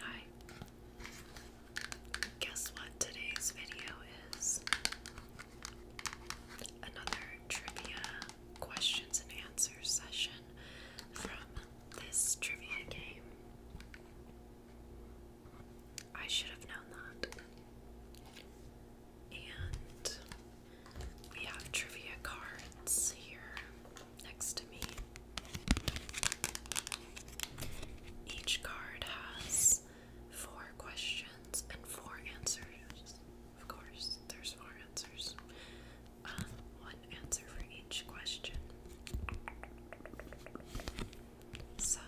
Hi. Guess what today's video is? Another trivia questions and answers session from this trivia game. I should have known that. And we have trivia cards here next to me. Each card has four questions and four answers. Of course, there's four answers. Um, one answer for each question. So,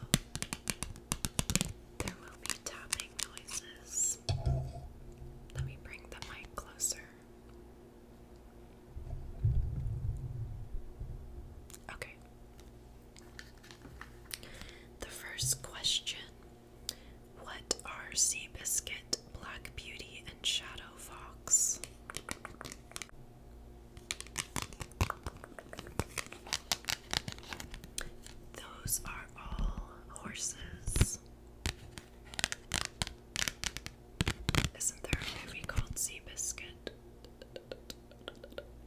there will be tapping noises. Let me bring the mic closer. Okay. The first question What are Seabiscuit, Black Beauty, and Shadow Fox? Those are all horses. Isn't there a movie called Seabiscuit?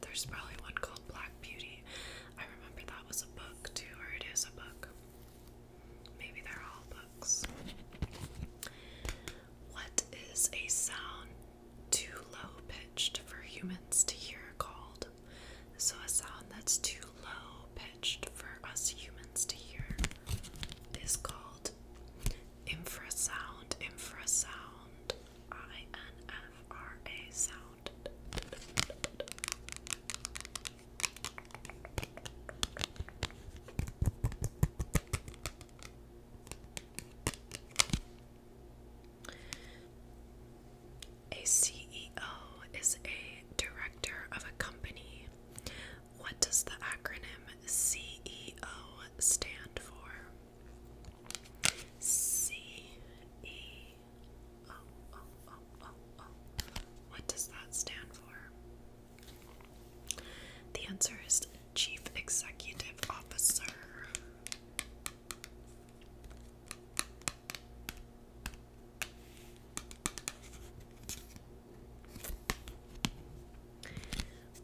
There's probably one called Black Beauty. I remember that was a book too, or it is a book. Maybe they're all books. What is a sound too low pitched for humans to hear called? So, a sound that's too low pitched for us humans to hear is called infrasound, infrasound, I N F R A sound. A CEO is a director of a company. What does the acronym CEO stand for? C E O O oh, O oh, O oh, O. What does that stand for? The answer is Chief Executive Officer.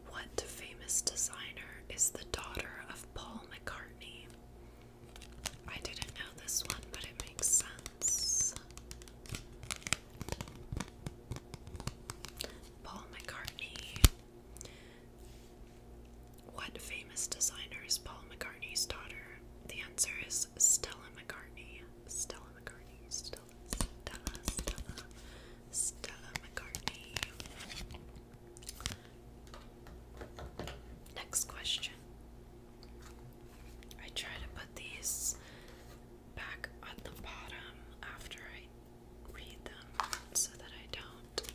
What famous designer is the daughter of Paul McCartney? I didn't know this one, but it makes sense. Paul McCartney. What famous designer is Paul McCartney's daughter? The answer is Stella McCartney. Stella McCartney. Stella, Stella, Stella, McCartney. Next question. I try to put these back at the bottom after I read them so that I don't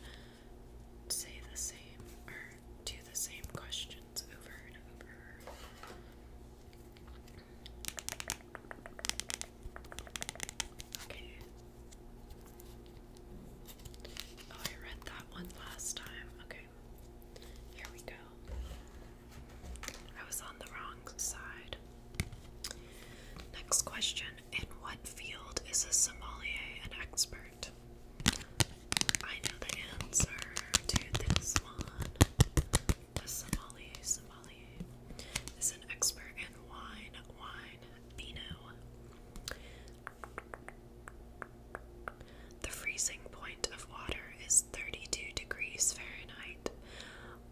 say the same or do the same questions over and over. Oh, I read that one last time. Okay. Here we go. I was on the wrong side. Next question In what field is a sommelier an expert? I know the answer to this one. The Somali, Somali is an expert in wine, wine, Pinot. The freezing point of water is 32 degrees Fahrenheit.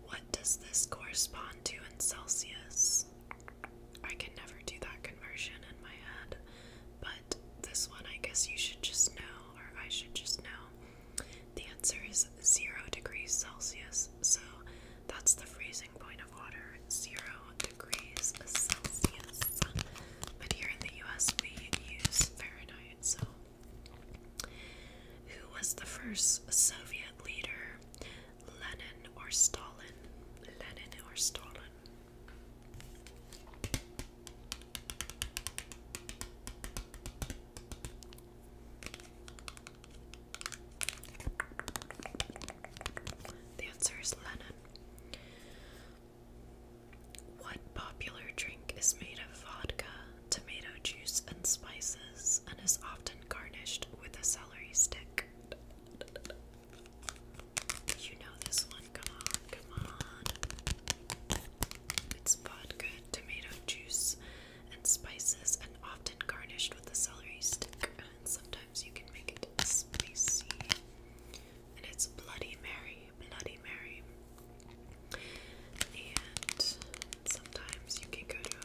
What does this correspond to in Celsius? I can never do that conversion in my head, but this one I guess you should just know, or I should just know. The answer is zero degrees Celsius, so that's the freezing point of water, zero degrees Celsius. But here in the US, we use Fahrenheit, so. Who was the first Soviet leader? Lenin or Stalin? Lenin or Stalin? The answer is Lennon. What popular drink is made of vodka, tomato juice, and spices, and is often garnished with a celery stick? You know this one. Come on, come on. It's vodka tomato juice, and spices, and often garnished with a celery stick. And sometimes you can make it spicy. And it's Bloody Mary, Bloody Mary. And sometimes you can go to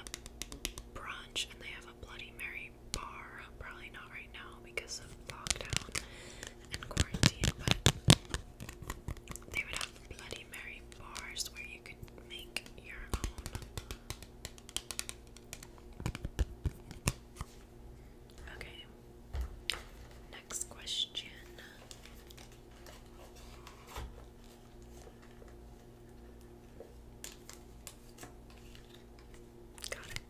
um, a brunch and they have a Bloody Mary bar. Probably not right now because of lockdown and quarantine, but they would have Bloody Mary bars where you could make your own. Okay, next question. Got it.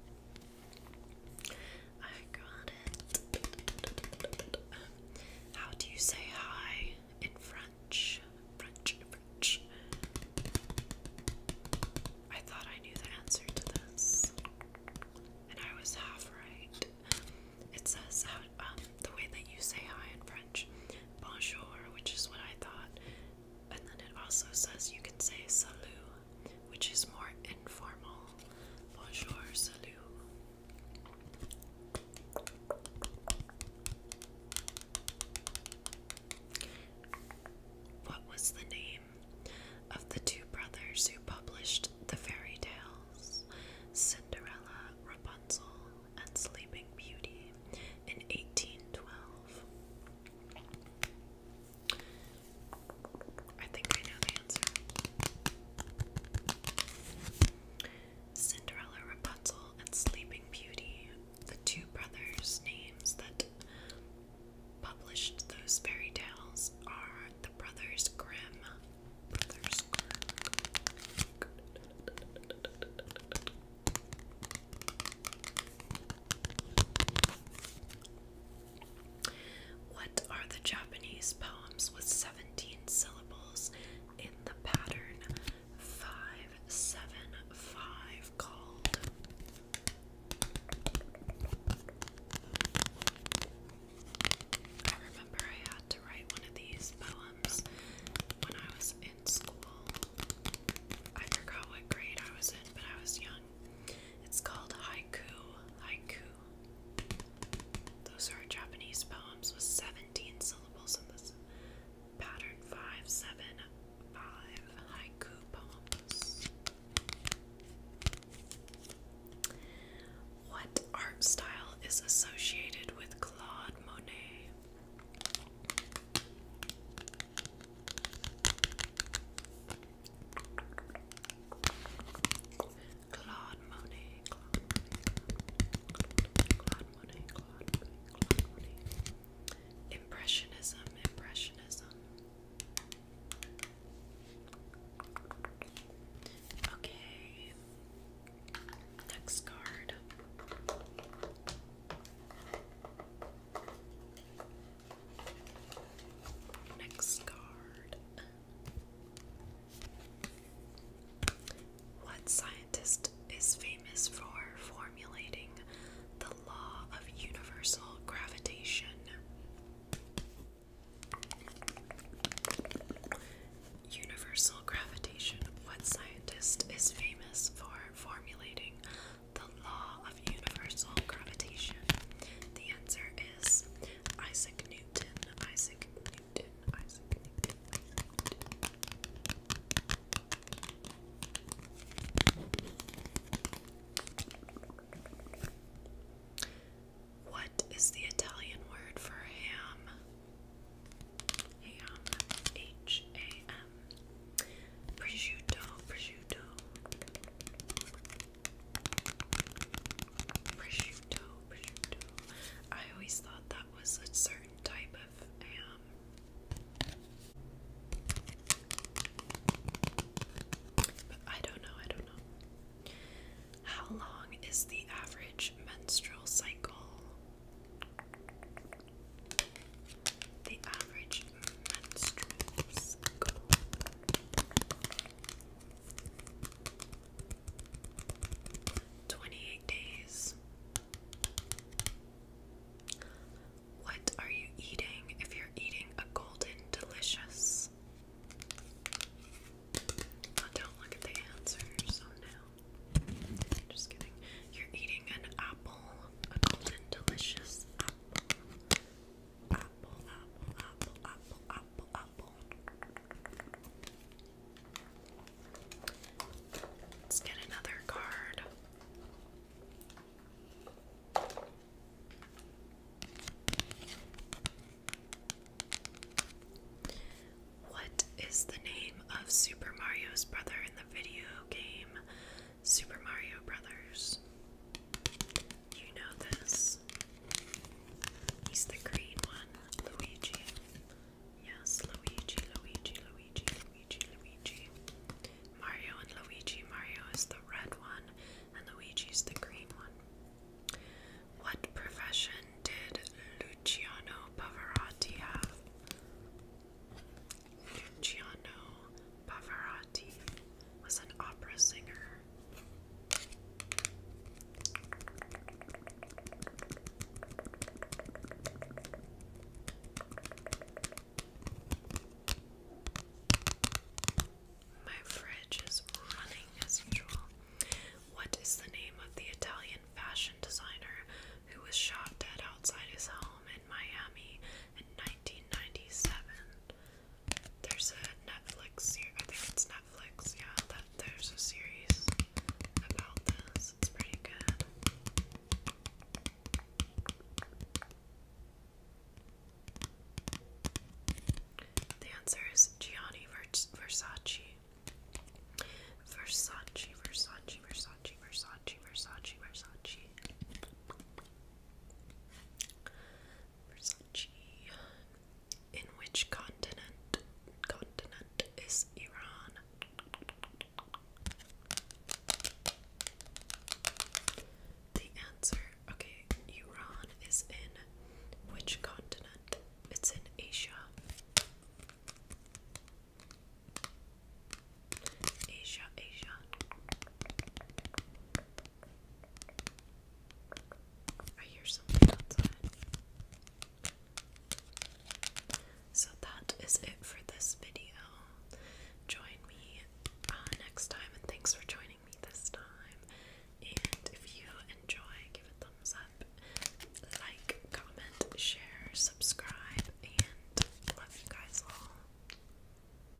I got it. How do you say hi in French? French, French. I thought I knew the answer to this, and I was half right. It says how um, the way that you say hi in French, bonjour, which is what I thought, and then it also says you can say salut which is more informal. Bonjour, salut. What was the name of the two brothers who published the fairy tales Cinderella, Rapunzel, and Sleeping Beauty in 1812? I think I know the answer. Cinderella, Rapunzel, and Sleeping Beauty, the two brothers' names that published those fairy tales, are the Brothers Grimm. What are the Japanese poems with 17 syllables in the pattern 575 called? I remember I had to write one of these poems when I was in school. I forgot what grade I was in, but I was young. It's called Haiku. Haiku those are Japanese poems with 17 syllables in this pattern 575 haiku poems. What art style is associated with Claude Monet? Claude Monet, Claude Monet, Claude Monet, Impressionism, Impressionism. Okay, next card. Next card. What scientist is famous for formulating the law of universal gravitation? Universal gravitation. What scientist is famous for formulating the law of universal gravitation? The answer is Isaac Newton. Isaac Newton. Isaac Newton. What is the Italian word for ham? Ham. H A M. Prosciutto. Prosciutto prosciutto, prosciutto. I always thought that was a certain type of ham. But I don't know, I don't know. How long is the average menstrual cycle? The average menstrual cycle. 28 days. What are you eating if you're eating a golden delicious? Oh, don't look at the answers. Oh no. Just kidding. You're eating an apple, a golden delicious Let's get another card. What is the name of Super Mario's brother in the video game Super Mario Brothers? you know this? He's the green one, Luigi. Yes, Luigi, Luigi, Luigi, Luigi, Luigi. Mario and Luigi. Mario is the red one, and Luigi's the green one. What profession did Luciano Pavarotti have? Luciano Pavarotti was an opera singer. My fridge is running as usual. What is the name of the Italian fashion designer who was shot dead outside his home in Miami in 1997? There's a Netflix I think it's Netflix. Yeah, that there's a series about this. It's pretty good. The answer is Gianni Versace. Versace. Versace, Versace, Versace, Versace, Versace, Versace. Versace. In which continent continent is Iran? The answer, okay, Iran is in which continent? It's in Asia. Asia, Asia. I hear something outside. So that is it for this video. Join me uh, next time, and thanks for joining me this time. And if you enjoy, give a thumbs up, like, comment, share, subscribe, and love you guys all.